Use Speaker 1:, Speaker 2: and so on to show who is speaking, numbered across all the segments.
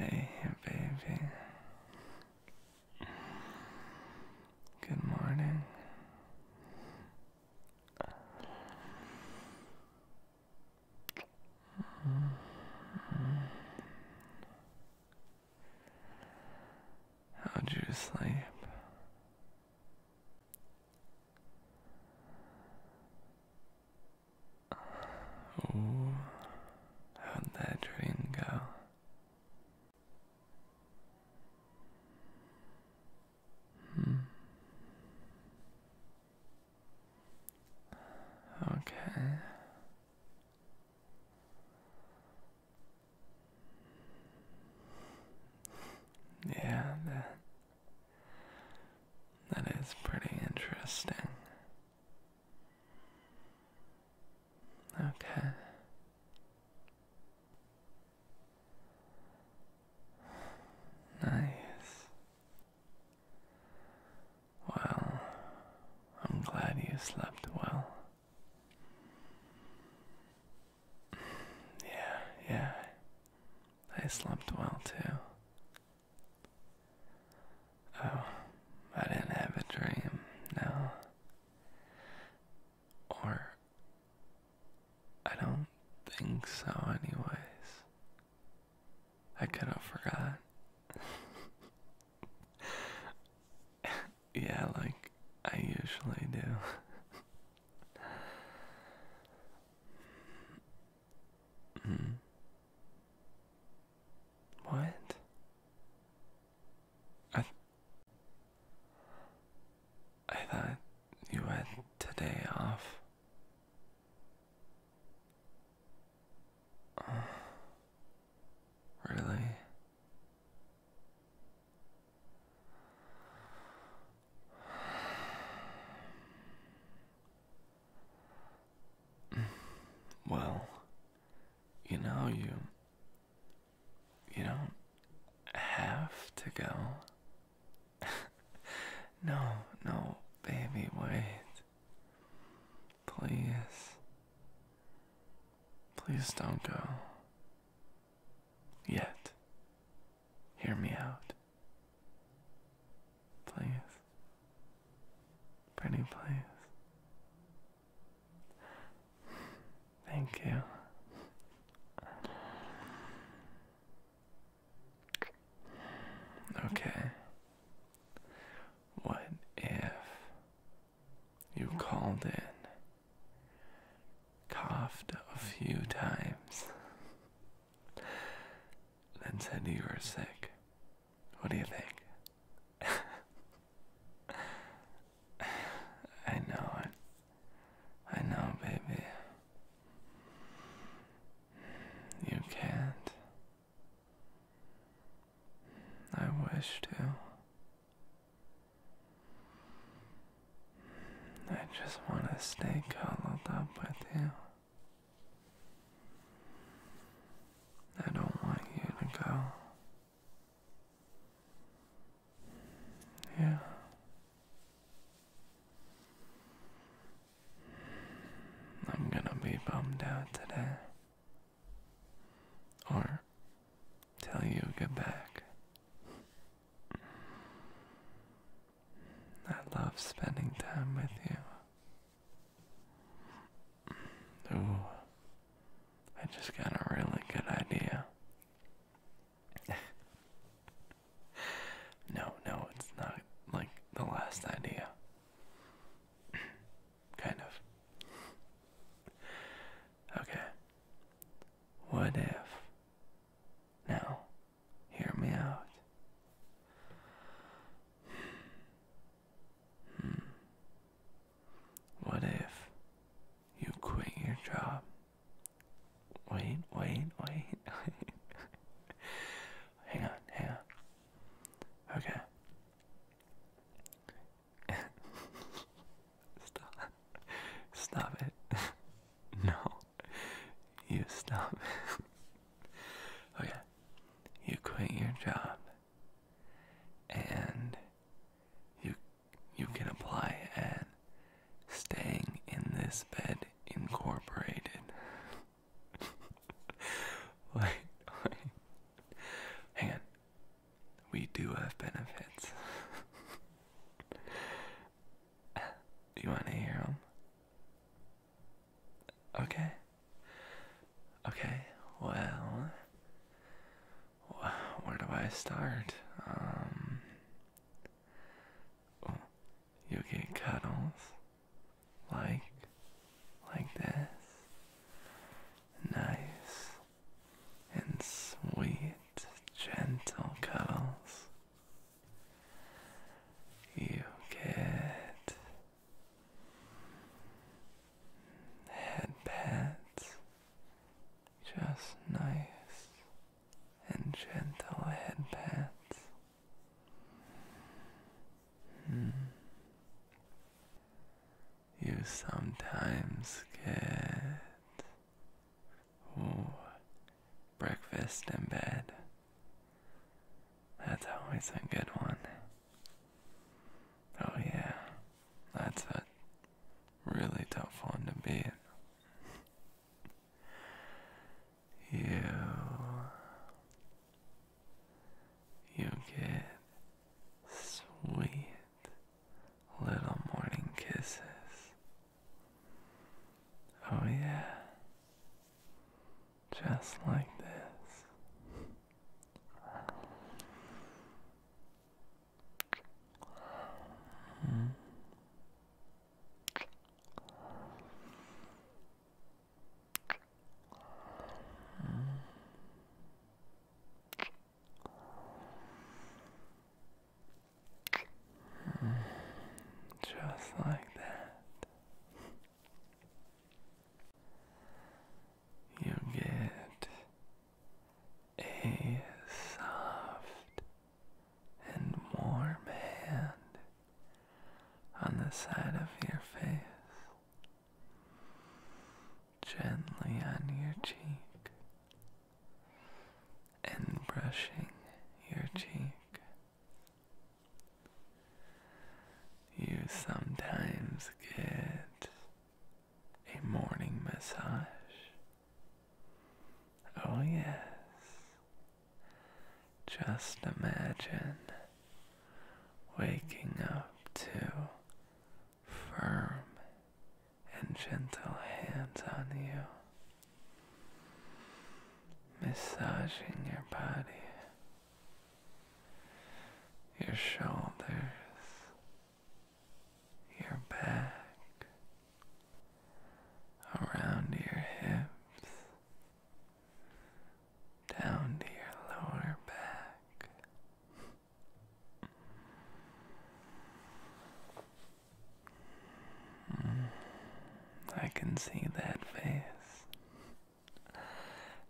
Speaker 1: Hey, baby. Good morning. How'd you sleep? Oh, how'd that dream go? Hmm. Okay. Yeah, that that is pretty interesting. Okay. Nice. Well, I'm glad you slept well. Yeah, yeah. I slept well too. Oh, I didn't have a dream, no. Or, I don't think so, anyways. I kind of forgot. yeah, like I usually do. Hmm. What? I I thought you had today off really? Well, you know, you. You don't have to go. no, no, baby, wait. Please. Please don't go. Yet. Hear me out. Please. Pretty please. Thank you. Okay. What if you called in, coughed a few times, then said you were sick? What do you think? I know it. I know, baby. You can't. I wish to. I just want to stay cuddled up with you. I don't want you to go. Yeah. I'm gonna be bummed out today. Or till you get back. I love spending time with you. Ooh, I just got a really good idea. no, no, it's not like the last idea. kind of. Okay. What if. Now, hear me out. Hmm. What if you quit your job Wait, wait, wait, hang on, hang on. Okay. stop. Stop it. no. You stop it. okay. You quit your job and you you can apply at Staying in this bed incorporated. wait, wait. Hang on. We do have benefits. Do you want to hear them? Okay. Okay, well, where do I start? Um, you get cuddles like like this. Nice and sweet, gentle cuddles. You get head pats, just nice and gentle head Hmm. You sometimes get Ooh, breakfast in bed. That's always a good one. Oh yeah, that's a really tough one to beat you you get sweet little morning kisses. Oh yeah. Just like this. Hmm. Just like that, you get a soft and warm hand on the side of your face, gently on your cheek, and brushing your cheek. You sometimes get a morning massage Oh, yes. Just imagine waking up to firm and gentle hands on you, massaging your body, your shoulders, your back around your hips, down to your lower back. I can see that face.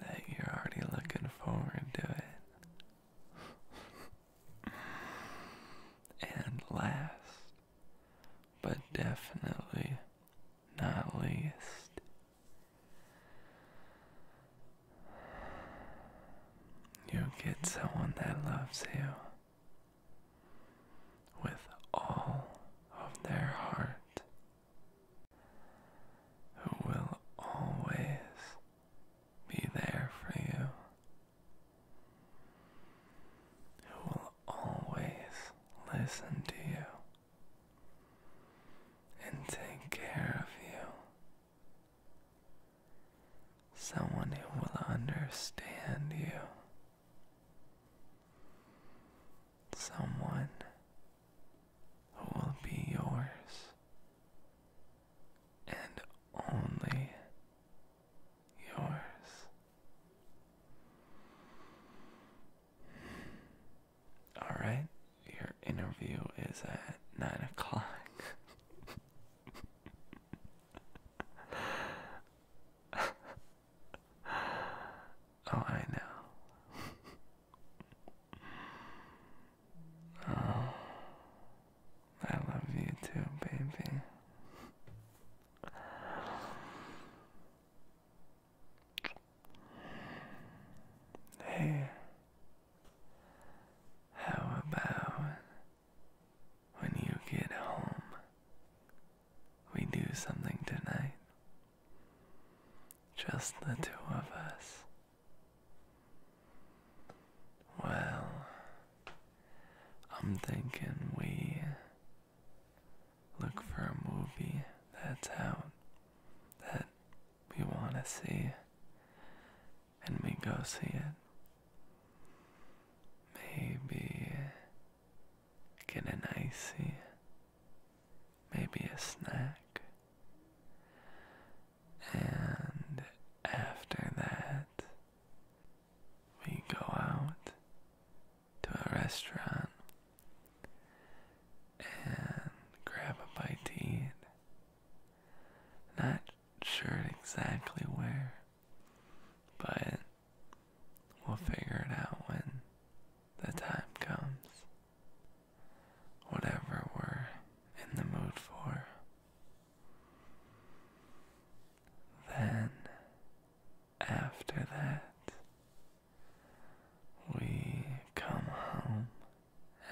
Speaker 1: That you're already looking forward to it. and last, but definitely not least. You get someone that loves you with all of their heart, who will always be there for you who will always listen to you and take care of you. Someone who will understand you. Someone who will be yours and only yours. All right, your interview is at nine o'clock. oh, I know. oh. I love you too, baby. Hey, how about when you get home, we do something tonight? Just the two of us. Well, I'm thinking we look for a movie that's out that we want to see, and we go see it. Maybe get an icy, maybe a snack, and after that, we go out to a restaurant and grab a bite to eat. Not sure exactly where, but we'll figure it out when the time comes. Whatever we're in the mood for, then, after that, we come home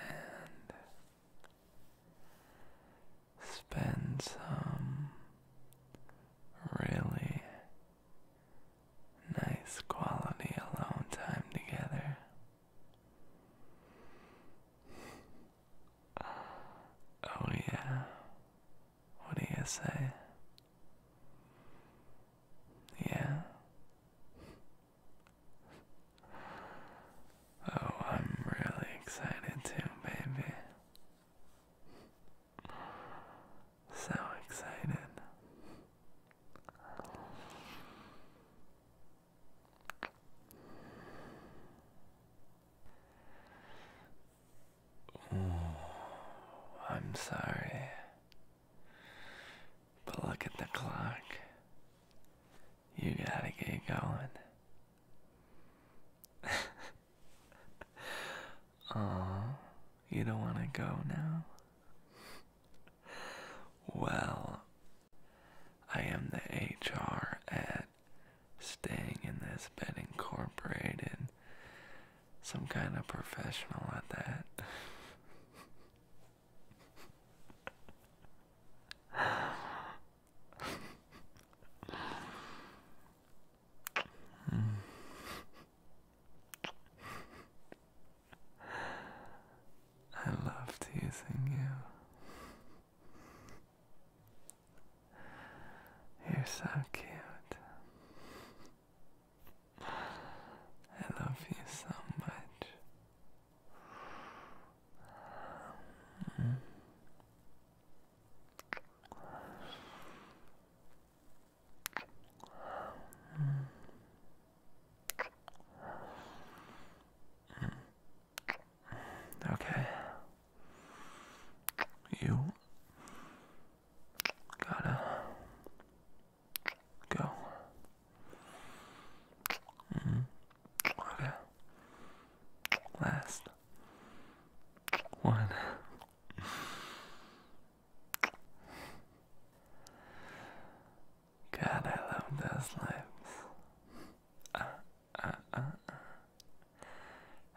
Speaker 1: and spend some really nice quality alone time together. Oh, yeah. What do you say? Yeah. Oh, I'm really excited too, baby. So excited. I'm sorry. But look at the clock. You gotta get going. Aw, you don't wanna go now? Well, I am the HR at staying in this bed incorporated. Some kind of professional at that. I love teasing you. You're so cute. I love you so much. Mm. Mm. Okay. You gotta go. -hmm. Okay. Last one. God, I love those lips. Uh, uh, uh.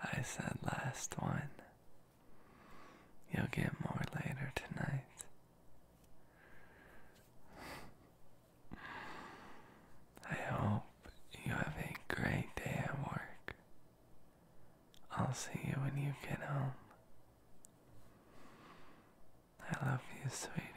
Speaker 1: I said last one. You'll get more later tonight. I hope you have a great day at work. I'll see you when you get home. I love you, sweetie.